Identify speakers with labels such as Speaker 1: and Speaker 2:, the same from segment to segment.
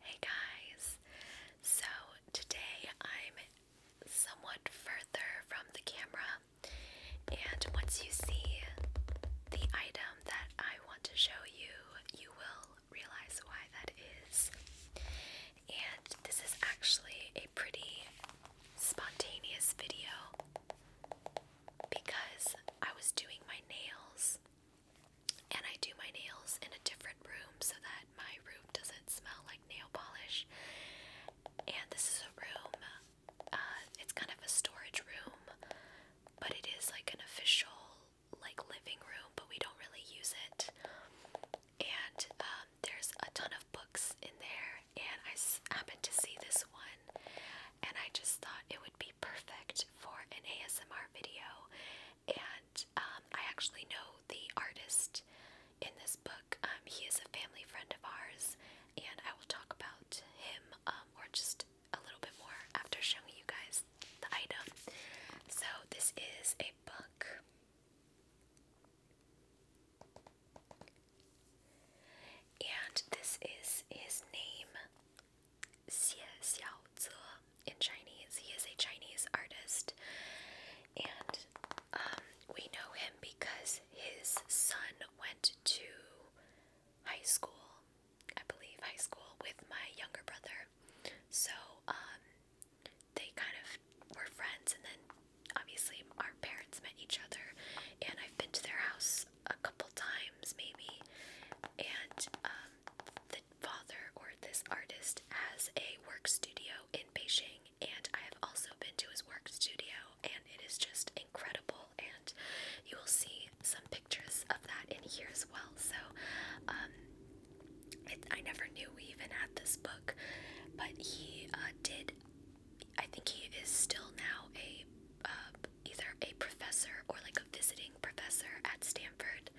Speaker 1: Hey guys! So today I'm somewhat further from the camera, and once you see the item that I want to show you, you will realize why that is. And this is actually a pretty spontaneous video because I was doing my nails and I do my nails in a different room so that my room doesn't smell like nail polish. And this is a room, uh, it's kind of a storage room, but it is like an official, like living room, but we don't really use it. And um, there's a ton of books in there, and I happened to see this one, and I just thought it would be perfect for an ASMR video and um, I actually know the artist in this book. Um, he is a family friend of ours, and I will talk about him um, or just a little bit more after showing you guys the item. So, this is a book. And this is his name. Xie Xiaozi in Chinese. He is a Chinese artist, and um, we know him because his son went to high school, I believe, high school with my younger brother. So um, they kind of were friends, and then obviously our parents met each other, and I've been to their house a couple times, maybe, and um, the father or this artist has a work studio in Beijing, and I have also been to his work studio, and it is just incredible. And you will see some pictures of that in here as well. So, um, it, I never knew we even had this book, but he uh, did. I think he is still now a uh, either a professor or like a visiting professor at Stanford.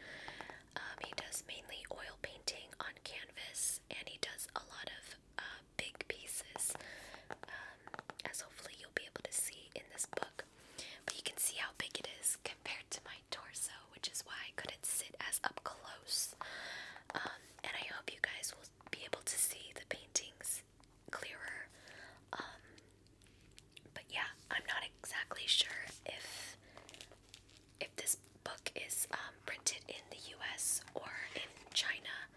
Speaker 1: Um, he does mainly oil painting on canvas and he does a lot of uh, big pieces, um, as hopefully you'll be able to see in this book. But you can see how big it is compared to my torso, which is why I couldn't sit as up close. Um, and I hope you guys will be able to see the paintings clearer but yeah, I'm not exactly sure if if this book is um, printed in the U.S. or in China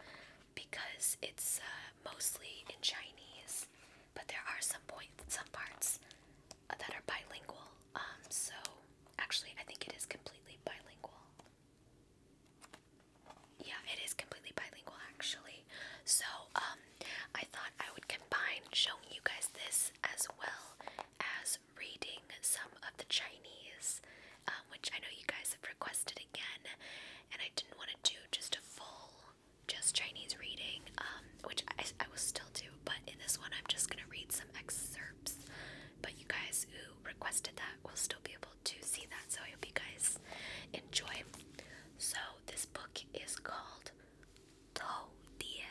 Speaker 1: because it's uh, mostly in Chinese, but there are some points, some parts that are bilingual. Um, so actually, I think it is completely bilingual. Yeah, it is completely bilingual actually. So, um, I thought I would combine showing you guys this as well as reading some of the Chinese, um, which I know you guys have requested again, and I didn't want to do just a full, just Chinese reading, um, which I, I will still do, but in this one I'm just going to read some excerpts. But you guys who requested that will still be able to see that, so I hope you guys enjoy. So, this book is called Tao Die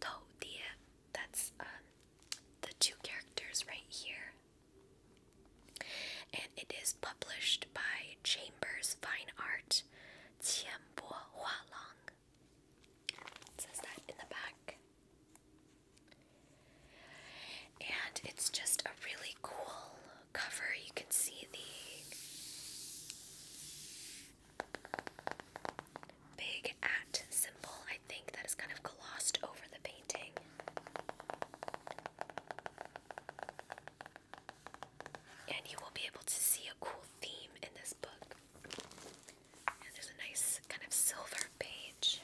Speaker 1: Toadie, that's um, the two characters right here. And it is published by Chambers Fine Art, Qianbo Hualong. It says that in the back. And it's just a really cool cover. You can see the big at symbol, I think, that is kind of glossed over the painting. And you will be able to see a cool theme in this book. And there's a nice kind of silver page.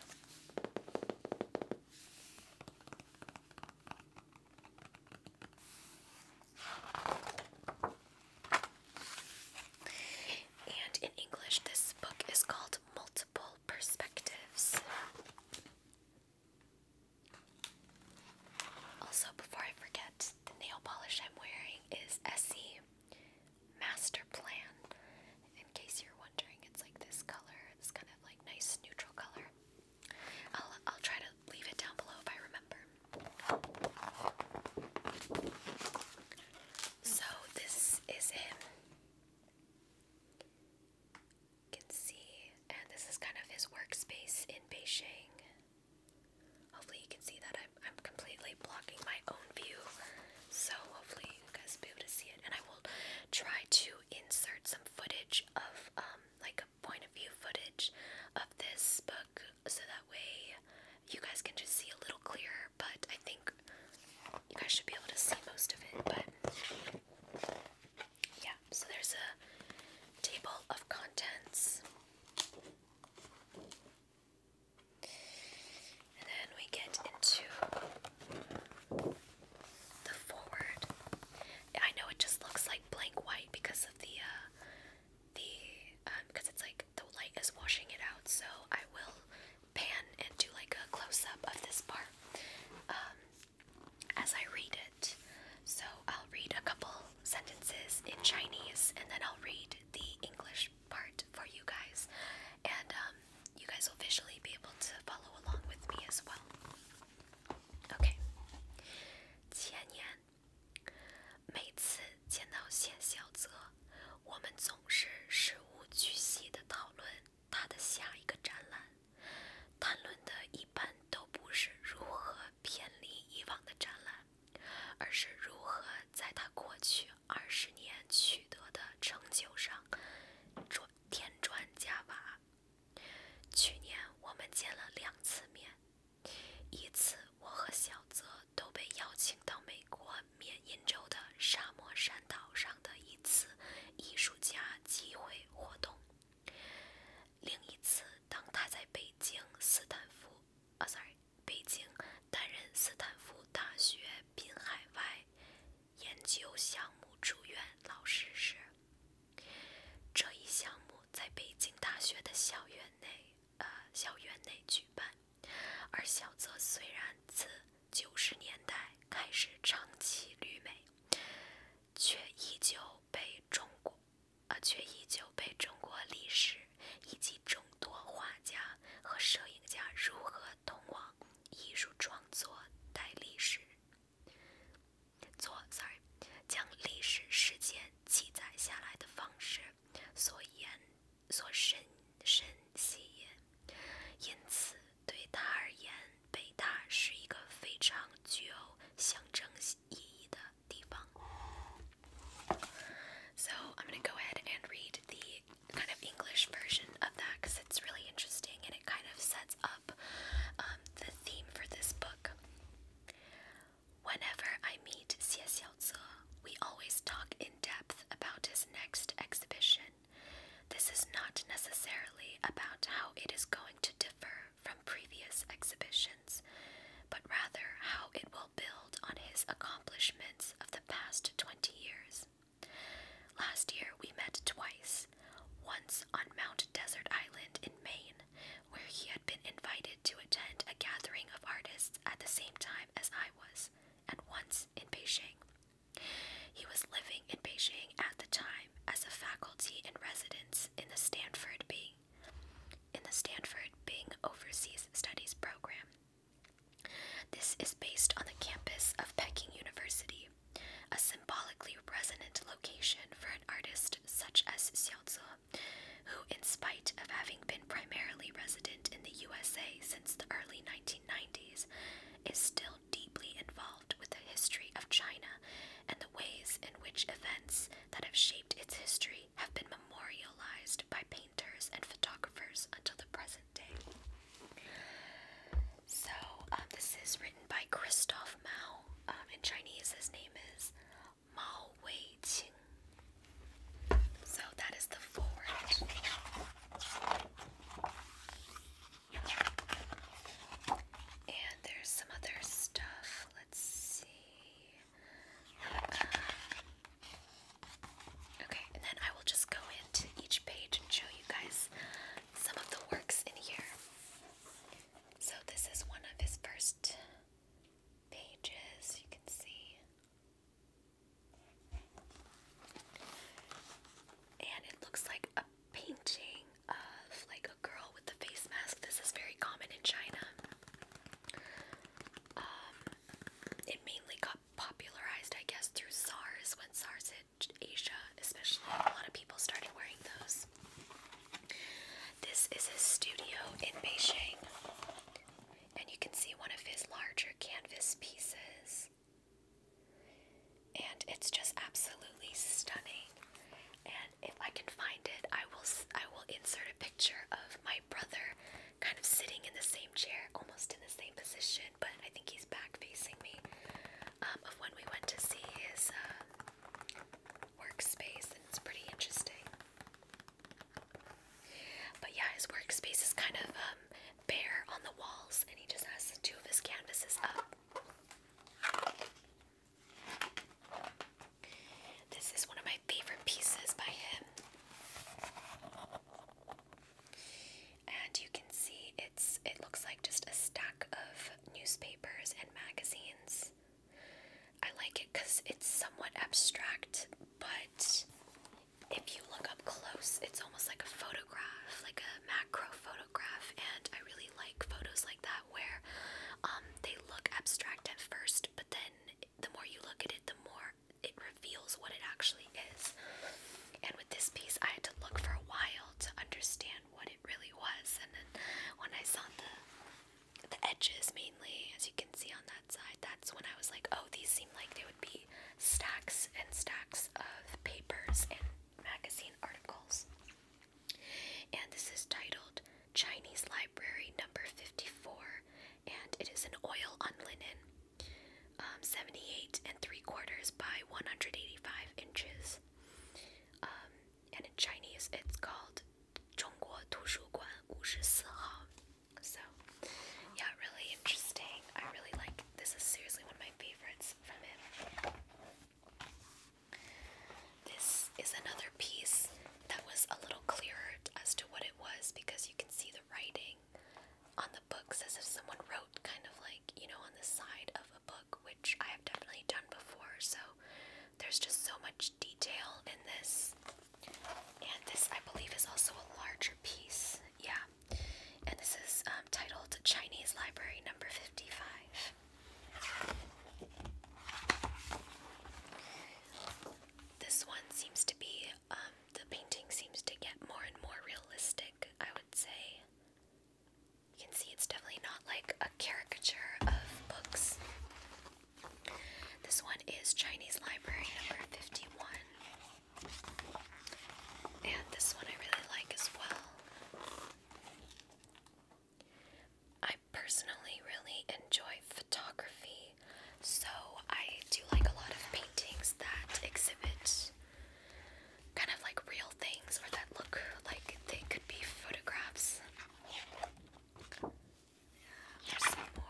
Speaker 1: And in English, this book is called Multiple Perspectives. Also, before I forget, the nail polish I'm wearing is Essie Master Plan. In case you're wondering, it's like this color, this kind of like nice neutral color. I'll, I'll try to leave it down below if I remember. So this is him. You can see, and this is kind of his workspace in Beijing. Hopefully you can see that I'm, I'm completely blocking my own view. So hopefully you guys will be able to see it. And I will try to insert some footage of um, like a point of view footage of this book so that way you guys can just see a little clearer, but I think you guys should be able to see most of it, but yeah, so there's a table of contents. And then we get into the forward. I know it just looks like blank white because of the uh the because um, it's like the light is washing it out, so I will pan and do like a close up of this part um, as I read it. So I'll read a couple sentences in Chinese and then I'll read the English part for you guys, and um, you guys will visually be able to follow along with me as well. Okay. 前年每次见到谢小泽，我们总是事无巨细地讨论他的下一个展览。谈论的一般都不是如何偏离以往的展览，而是如何在他过去二十年取得的成就上添砖加瓦。去年我们见了两次面。一次，我和小泽都被邀请到美国缅因州的沙漠山岛上的一次艺术家集会活动。另一次，当他在北京斯坦福啊，sorry，北京担任斯坦福大学滨海外研究项目助任老师时，这一项目在北京大学的校园内。呃，校园内举办。而小泽虽然自九十年代开始长期旅美，却依旧被中国，呃，却依旧被中国历史以及众多画家和摄影家如何通往艺术创作带历史，做 sorry，将历史事件记载下来的方式所言。So, i I'm going to go ahead and read the kind of English version of that because it's really interesting and it kind of sets up um, the theme for this book. Whenever I meet Xie Xiaozi, we always talk in depth about his next exhibition. This is not necessarily about how it is going to differ from previous exhibitions, but rather how it will build on his accomplishments of the past 20 years. Last year we met twice, once on Mount Desert Island in Maine, where he had been invited to attend a gathering of artists at the same time as I was, and once in Beijing. He was living in Beijing at the time as a faculty in residence in the Stanford Bing, in the Stanford Bing Overseas Studies program. This is based on the campus of Peking University, a symbolically resonant location for an artist such as Xiao who, in spite of having been primarily resident in the USA since the early 1990s, is still deeply involved with the history of China and the ways in which events that have shaped its history have been memorialized by painters and photographers until the present day. So, um, this is written by Christoph Mao. Um, in Chinese, his name is Mao Wei So that is the forward. And there's some other stuff. Let's see. okay, and then I will just go into each page and show you guys some of the works in here. So this is one of his first pages, you can see. And it looks like a painting of like a girl with the face mask. This is very common in China. Um, it mainly got popularized, I guess, through SARS when SARS hit Asia, especially. A lot of people started wearing those. This is a studio in Beijing and you can see one of his larger canvas pieces. And it's just absolutely stunning. And if I can find it, I will I will insert a picture of my brother kind of sitting in the same chair, almost in the same position, but I think he's back facing me. Um, of when we went to see his uh, workspace, and it's pretty interesting. But yeah, his workspace is kind of um, bare on the walls, and he just has two of his canvases up. This is one of my favorite pieces by him. And you can see it's it looks like just a stack of newspapers and magazines. I like it cuz it's somewhat abstract, but if you look up close, it's almost like a photograph, like a macro photograph, and I really like photos like that where um, they look abstract at first, but then the more you look at it, the more it reveals what it actually is. And with this piece, I had to look for a while to understand what it really was, and then when I saw the the edges mainly, as you can see on that side, that's when I was like, oh, these seem like they would be stacks and stacks of papers and magazine articles. And this is titled Chinese Library Number 54, and it is an oil on linen, um, 78 and 3 quarters by 185 inches. Um, and in Chinese, it's called 中国图书馆五十四号。so, yeah, really interesting. I really like this is seriously one of my favorites from it. This is another piece that was a little clearer as to what it was because you can see the writing on the books as if someone wrote kind of like, you know, on the side of a book, which I have definitely done before. So, there's just so much detail in this. And this, I believe, is also a larger piece. Yeah. And this is um, titled Chinese Library Number 55. This one seems to be, um, the painting seems to get more and more realistic, I would say. You can see it's definitely not like a caricature of books. This one is Chinese Library number 51. And this one I really like as well. I personally really enjoy photography, so I do like a lot of paintings that exhibit kind of like real things or that look like they could be photographs. There's some more.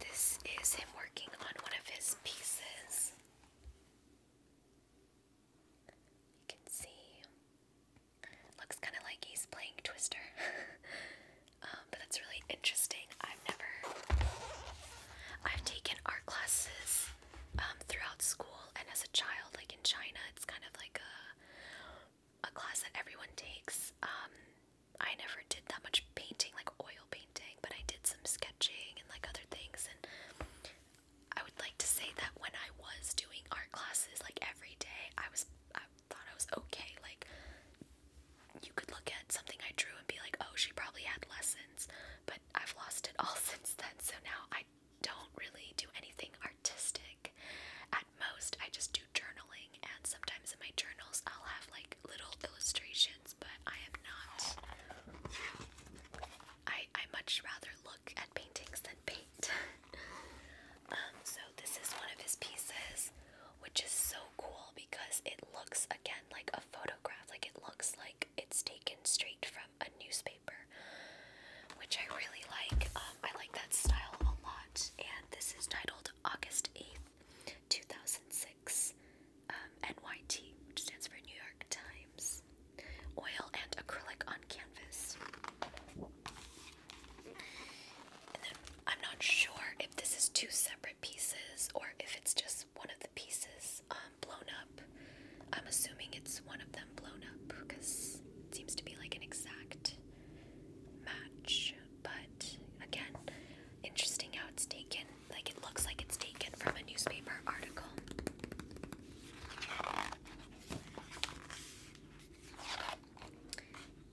Speaker 1: This is him working on one of his pieces. You can see. Looks kind of like he's playing Twister. Um, but that's really interesting. I've never. I've taken art classes um, throughout school and as a child, like in China, it's kind of like a a class that everyone takes. Um, I never did that much painting, like oil painting, but I did some sketching and like other things. And I would like to say that when I was doing art classes, like every day, I was I thought I was okay. Like you could look at something I drew and be like, oh, she probably had lessons. But I've lost it all since then, so now I don't really do anything artistic. At most, I just do journaling, and sometimes in my journals, I'll have like little illustrations, but I am not. I, I much rather look at paintings than paint. um, so, this is one of his pieces, which is so cool because it looks again like a photograph, like it looks like it's taken straight from a newspaper, which I really like. Um, I like that style a lot, and this is titled August 8th, 2006, um, NYT, which stands for New York Times. Oil and acrylic on canvas. I'm not sure if this is two separate pieces or if it's just one of the pieces um, blown up. I'm assuming it's one of them blown up because it seems to be like an exact match but again, interesting how it's taken. Like it looks like it's taken from a newspaper article.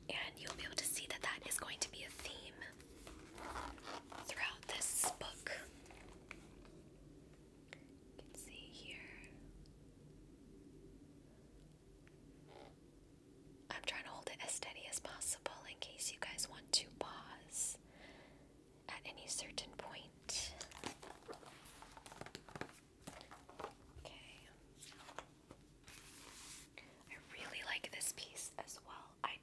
Speaker 1: And you'll be able to see that that is going to be a theme throughout this book. You can see here. I'm trying to hold it as steady as possible in case you guys want to pause at any certain point. Okay. I really like this piece as well. I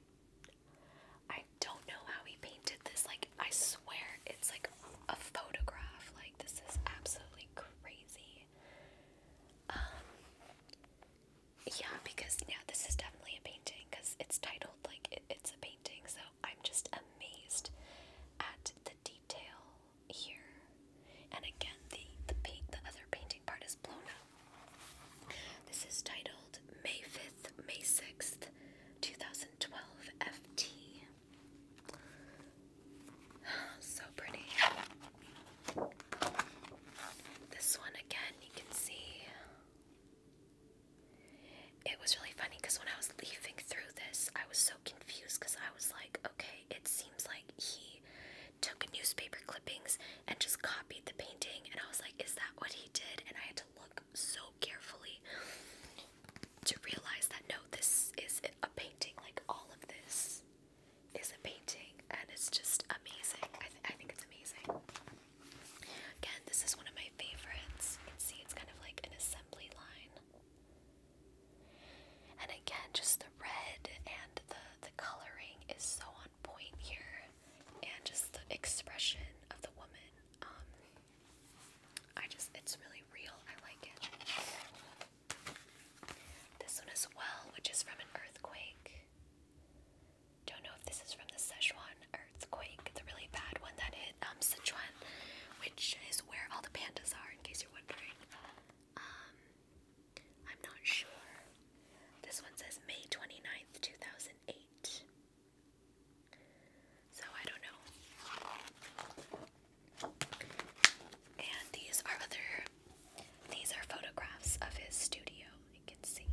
Speaker 1: I don't know how he painted this. Like I swear it's like a photograph. Like this is absolutely crazy. Um, yeah, because yeah, this is definitely a painting because it's titled like it's a painting. So I'm just amazed at the detail here. And again, the the paint the other painting part is blown up. This is titled May fifth, May sixth, two thousand twelve FT. so pretty. This one again, you can see. It was really funny because when I was leafing through this, I was so confused because I was like, okay, it seems like he took newspaper clippings and just copied the painting. And I was like, is that what he did? And I had to look so carefully to realize that no, this is a painting. Like all of this is a painting and it's just amazing. I, I think it's amazing. Again, this is one of my favorites. You can see it's kind of like an assembly line. And again, just the red and the, the coloring is so on point here. And just the expression of the woman. Um, I just, it's really real. I like it. This one as well, which is from an earthquake. Don't know if this is from the Sichuan earthquake, the really bad one that hit um, Sichuan, which is where all the pandas are, in case you're wondering. Um, I'm not sure. This one says May 29th, 2008. So I don't know. And these are other these are photographs of his studio, you can see.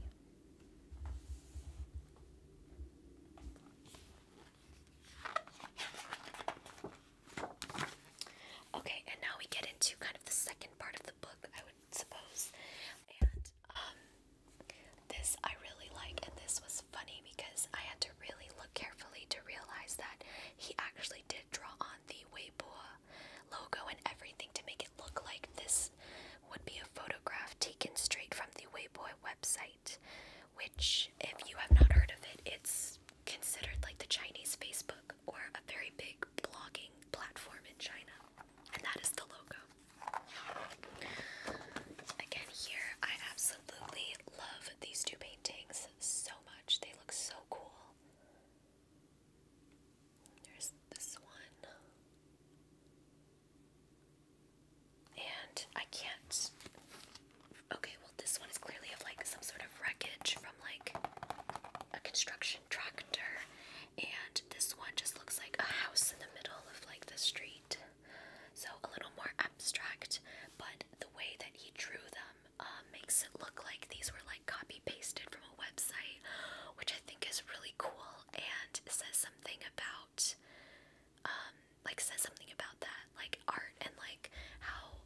Speaker 1: Okay, and now we get into kind of the second part of the book, I would suppose. And um this I really like and this was funny because I had to really look carefully to realize that he actually did draw on the Weibo logo and everything to make it look like this would be a photograph taken straight from the Weibo website, which, if you have not heard of it, it's considered like the Chinese Facebook or a very big blogging platform in China. And that is the logo. Again, here I absolutely love these two paintings so much. They look so cool. There's this one. And I can't. Okay, well, this one is clearly of like some sort of wreckage from like a construction tractor. And this one just looks like a house in the middle of like the street. So a little more abstract, but the way that he drew them um, uh, makes it look like these were like copy pasted from a website, which I think is really cool and says something about, um, like says something about that like art and like how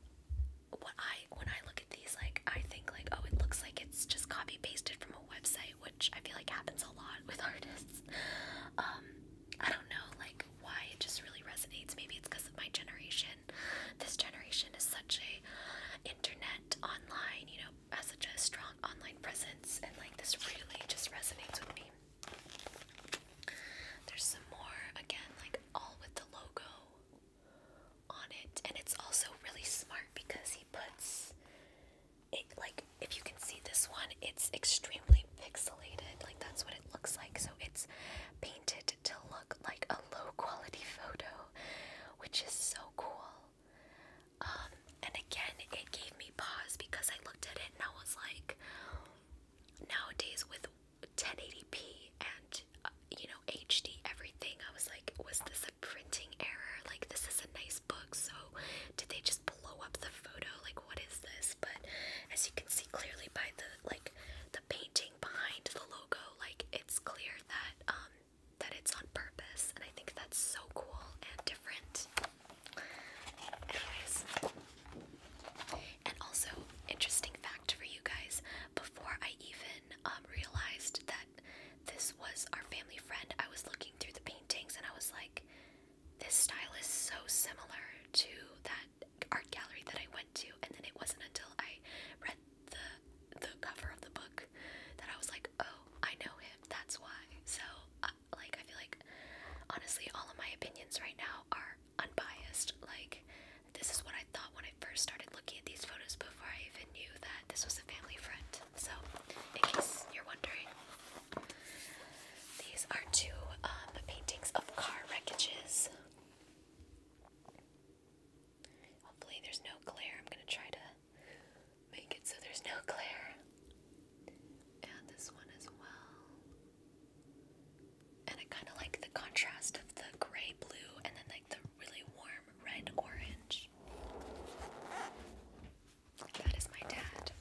Speaker 1: what I when I look at these like I think like oh it looks like it's just copy pasted from a website, which I feel like happens a lot with artists. Um, I don't know like why it just really resonates. Maybe it's because of my generation. This generation is such a internet online, you know, has such a strong online presence, and like this really just resonates with me. There's some more, again, like all with the logo on it, and it's also really smart because he puts it like if you can see this one, it's extremely pixelated, like that's what it looks like, so it's painted to look like a low quality photo, which is so cool. Um, and again, it gave me pause because I looked at it and I was like, nowadays with 1080p and uh, you know HD everything, I was like, was this a printing error? Like, this is a nice book, so did they just blow up the photo? Like, what is this? But as you can see clearly by the like the painting behind the logo, like it's clear that um, that it's on purpose, and I think that's so cool and different. Anyways, and also, interesting fact for you guys before I even um, realized that this was our family friend, I was looking through the paintings and I was like, this style is so similar to that art gallery that I went to. And then it wasn't until I read the the cover of the book that I was like, oh, I know him. That's why. So, uh, like, I feel like honestly, all of my opinions right now are unbiased. Like, this is what I thought when I first started looking at these photos before I even knew that this was a family friend. So, in case you're wondering, these are two um, paintings of car wreckages. Hopefully there's no glare. I'm going to try to make it so there's no glare. And this one as well. And I kind of like the contrast of the gray blue and then like the really warm red orange. That is my dad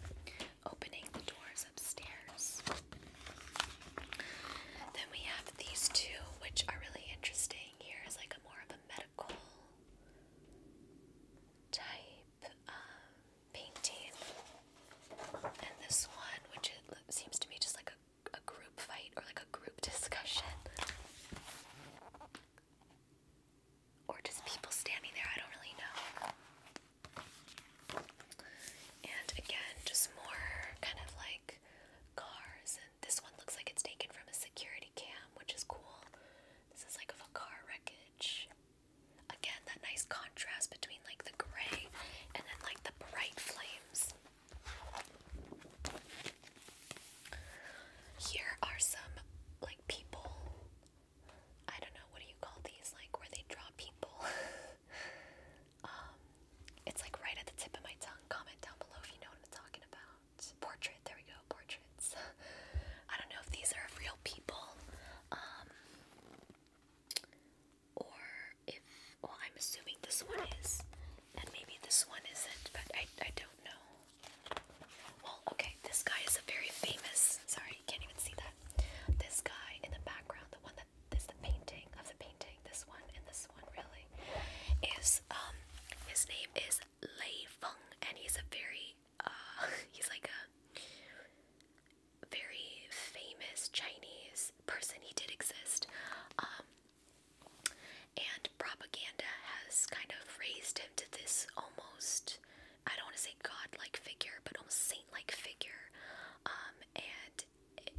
Speaker 1: opening the doors upstairs. Then we have these two, which are really interesting. Here is like a more of medical type um, painting, and this one, which seems to me just like a, a group fight or like a group discussion. Or just people standing there, I don't really know. And again, just more kind of like cars, and this one looks like it's taken from a security cam, which is cool. This is like of a car wreckage. Again, that nice contrast between like the gray and then like the bright flames. Here are some like people. I don't know, what do you call these? Like where they draw people. Um, it's like right at the tip of my tongue. Comment down below if you know what I'm talking about not There we go, portraits. I don't know if these are of real people, um, or if well, I'm assuming this one is, and maybe this one isn't, but I I don't know. Well, okay, this guy is a very famous. Sorry, you can't even see that. This guy in the background, the one that is the painting of the painting. This one and this one, really is um his name is Lei Feng, and he's a very uh, he's like a very famous Chinese person. He did exist, um, and propaganda has kind of raised him to this almost I don't want to say godlike figure, but almost saint-like figure, um, and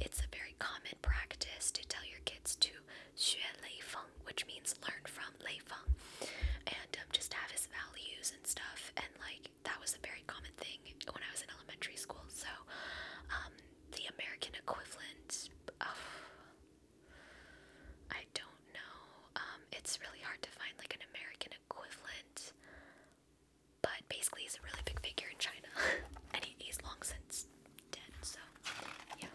Speaker 1: it's a very common practice to tell your kids to xue lei which means learn from Leifeng, and um, just have his values and stuff. And like that was a very common thing when I was in elementary school. So um, the American equivalent of I don't know. Um, it's really hard to find like an American equivalent, but basically he's a really big figure in China, and he, he's long since dead. So, yeah.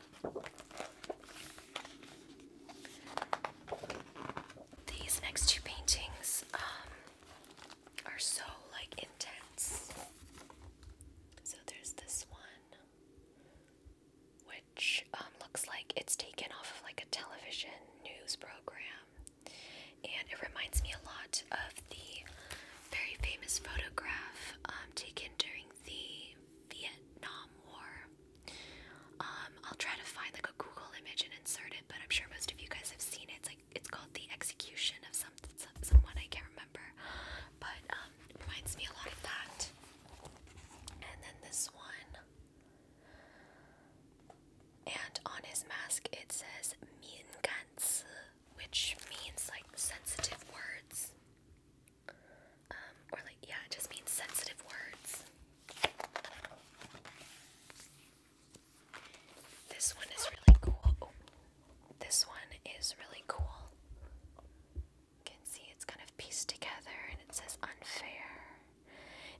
Speaker 1: These next two paintings um, are so like intense. So there's this one, which um, looks like it's taken off of like a television news program, and it reminds me a lot of the very famous photograph um, taken during the Vietnam War. Um, I'll try to find like a Google image and insert it, but I'm sure most of you guys have seen it. It's like it's called the execution of some, someone I can't remember, but um, it reminds me a lot of that. And then this one, and on his mask it says "mienganzi," which means like sensitive words. Um, or like, yeah, it just means sensitive words. This one is really cool. Oh, this one is really cool. You can see it's kind of pieced together and it says unfair.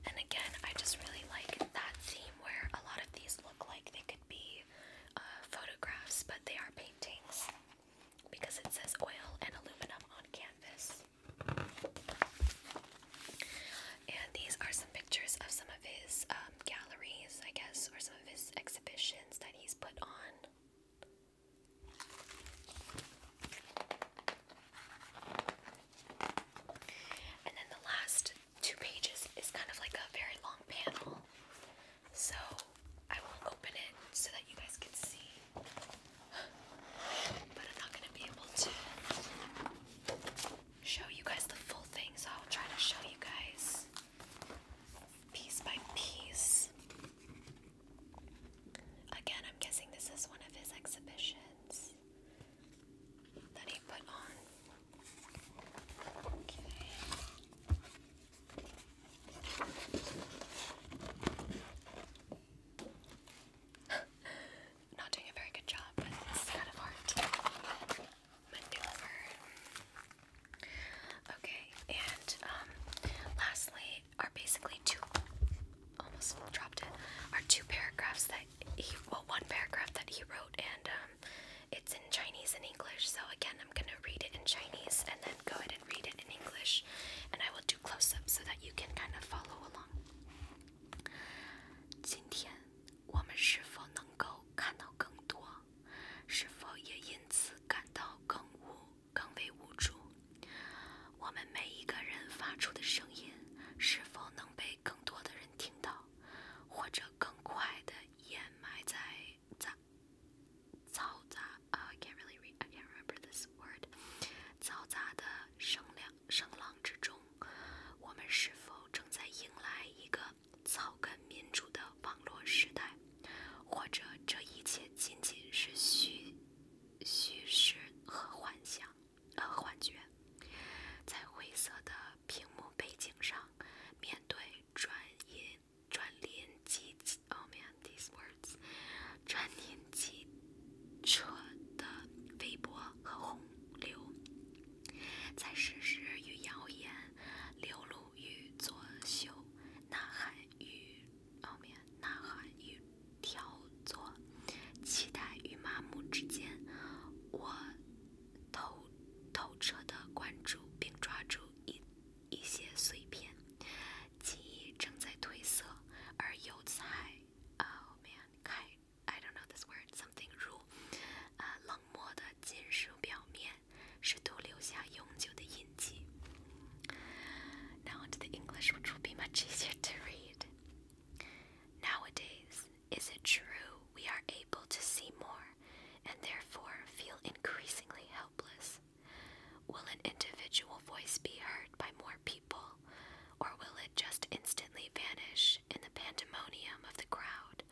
Speaker 1: And again, I just really like that theme where a lot of these look like they could be uh, photographs, but they are paintings because it says oil and aluminum on canvas. And these are some pictures of some of his um, galleries, I guess, or some of his exhibitions that he's put on. And then the last two pages is kind of like a very long panel so I will open it so that you guys can see. But I'm not gonna be able to show you guys the full thing, so I'll try to show you guys piece by piece. Again, I'm guessing this is one of his exhibitions that he put on. Okay. Not doing a very good job, kind of hard Okay, and um, lastly are basically two almost dropped it are two paragraphs that he well one paragraph that he wrote and um, it's in Chinese and English so again and I'm going to read it in Chinese and then go ahead and read it in English. And I will do close ups so that you can kind of follow along. 今天我们是否能够看到更多？是否也因此感到更无、更为无助？我们每一个人发出的声音是否能被更多的人听到，或者更快的掩埋在杂嘈杂啊 can't really read, I can't remember this word。嘈杂的声量声浪之中，我们是否正在迎来一个草根民主的网络时代，或者这一切仅仅是虚虚实和幻想呃幻觉？在灰色的屏幕背景上，面对转音。串联机，哦，对，these words，串联机车的微波和洪流，在事实与谣言、流露与作秀、呐喊与，哦，对，呐喊与挑作、期待与麻木之间，我透透彻的关注并抓住一。一些碎片，记忆正在褪色，而油菜，oh man，开，I don't know this word，something 如，啊，冷漠的金属表面，试图留下永久的印记。Now onto the English, which will be much easier to read. Nowadays, is it true we are able to see more and therefore feel increasingly helpless? Will an individual voice be heard by more people, or will it just instantly vanish in the pandemonium of the crowd?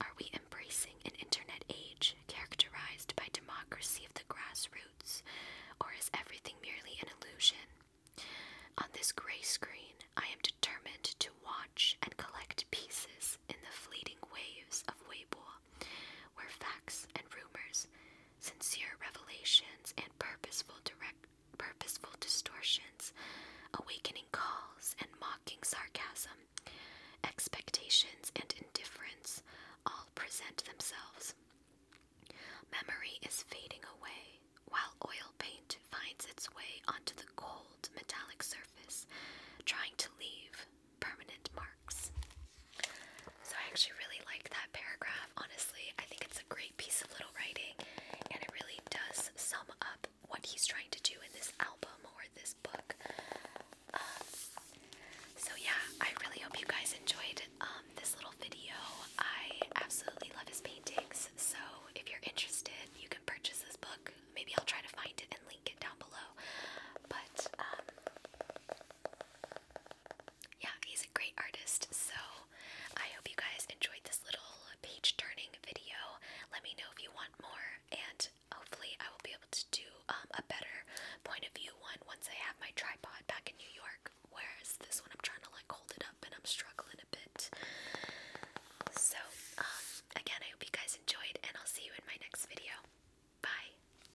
Speaker 1: Are we embracing an internet age characterized by democracy of the grassroots, or is everything merely an illusion? On this gray screen, I am determined to watch and collect pieces in the fleeting waves of Weibo where facts and rumors, sincere revelations, and purposeful purposeful distortions, awakening calls and mocking sarcasm, expectations and indifference all present themselves. Memory is fading away, while oil paint finds its way onto the cold metallic surface, trying to leave permanent marks. So I actually really like that paragraph. Honestly, I think it's a great piece of little writing and it really does sum up what he's trying to do in this album or this book. Um, so yeah, I really hope you guys enjoyed um, this little video. I absolutely love his paintings. So if you're interested, you can purchase this book. Maybe I'll try to find it and link it down below. But um, yeah, he's a great artist. So I hope you guys enjoyed this little page turning video. Let me know if you want more, and hopefully, I will be able to do um, a better point of view one once I have my tripod back in New York. Whereas this one, I'm trying to like hold it up, and I'm struggling a bit. So, um, again, I hope you guys enjoyed, and I'll see you in my next video. Bye.